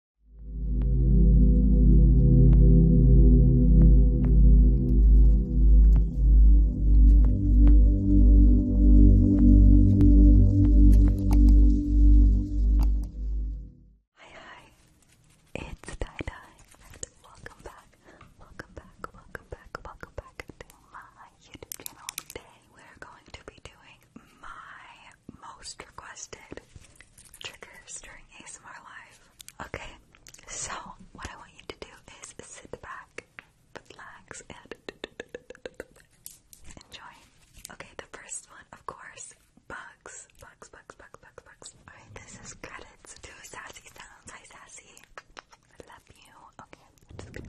Hi hi, it's Dai Dai welcome back, welcome back, welcome back, welcome back to my YouTube channel. Today we're going to be doing my most requested triggers during ASMR Live. Okay, so what I want you to do is sit back, relax, and enjoy. Okay, the first one, of course, bugs. Bugs, bugs, bugs, bugs, bugs. Alright, this is credits to Sassy Sounds. Hi, Sassy. I love you. Okay.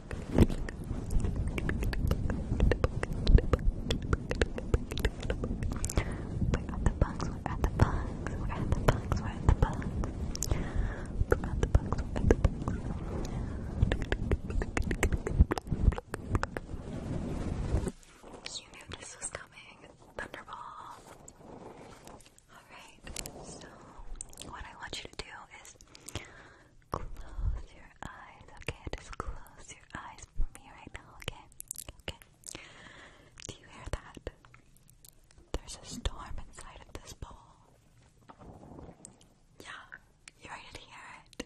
we're at the bugs, we're at the bugs, we're at the bugs. We're at the bugs, we're at the bugs. You knew this was coming. Thunderball. Alright, so what I want you to do is Close your eyes, okay? Just close your eyes for me right now, okay? Okay. Do you hear that? There's a storm inside of this bowl. Yeah, you ready to hear it?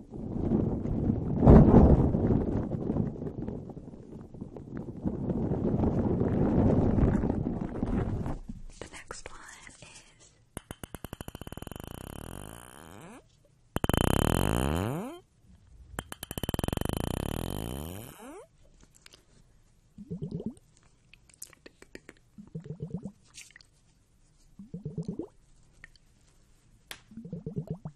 The next one is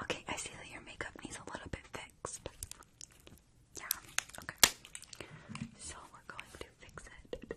Okay, I see that your makeup needs a little bit fixed. Yeah, okay. So we're going to fix it.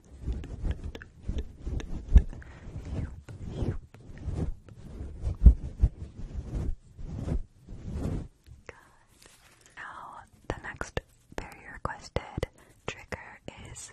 Now, the next very requested trigger is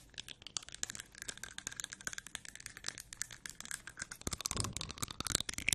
Rollers. Tick,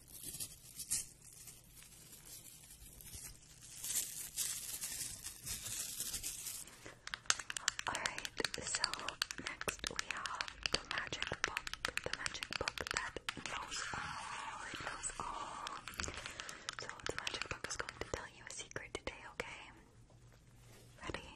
Alright, so next we have the magic book. The magic book that knows all. It knows all. So the magic book is going to tell you a secret today, okay? Ready?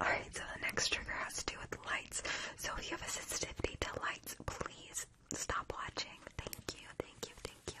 Alright, so the next trigger has to do with lights. So if you have a sensitivity to lights, please stop watching. Thank you, thank you, thank you.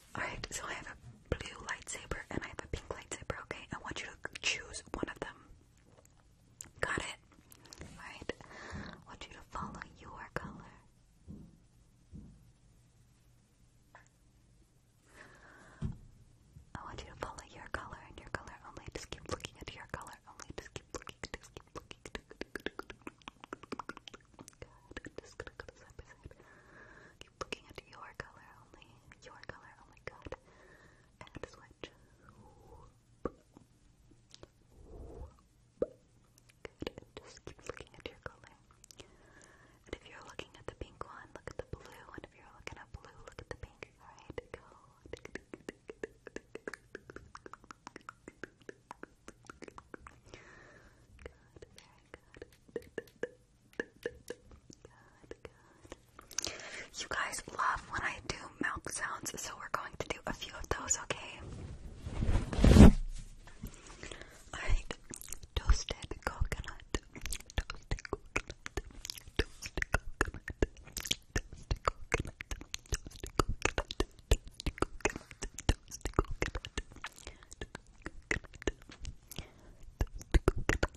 Alright, so I have a blue lightsaber and I have a pink lightsaber, okay? I want you to choose one of them. Got it? Alright, I want you to follow your color. I want you to follow your color and your color only. Just keep looking at your color only. Just keep looking. Just keep looking. Just gonna go to side by side. Keep looking at your color only. Your color, oh my god. And switch. Good, just keep looking at your color. And if you're looking at the pink one, look at the blue, and if you're looking at blue, look at the pink. Alright, Good, good. You guys love when I do milk sounds, so we're going to do a few of those, okay? toasted coconut, toasted coconut, toasted coconut, toasted coconut, toasted coconut, toasted coconut, toasted coconut, toasted coconut,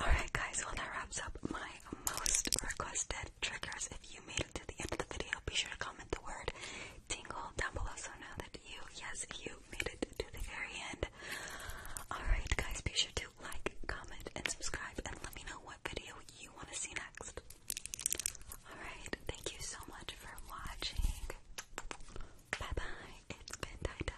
Alright, guys, well, that wraps up my most requested triggers. If you made it to the end of the video, be sure to comment the word tingle down below so I know that you, yes, you made it to the very end. Alright, guys, be sure to like, comment, and subscribe, and let me know what video you want to see next. Alright, thank you so much for watching. Bye bye. It's been tie dye.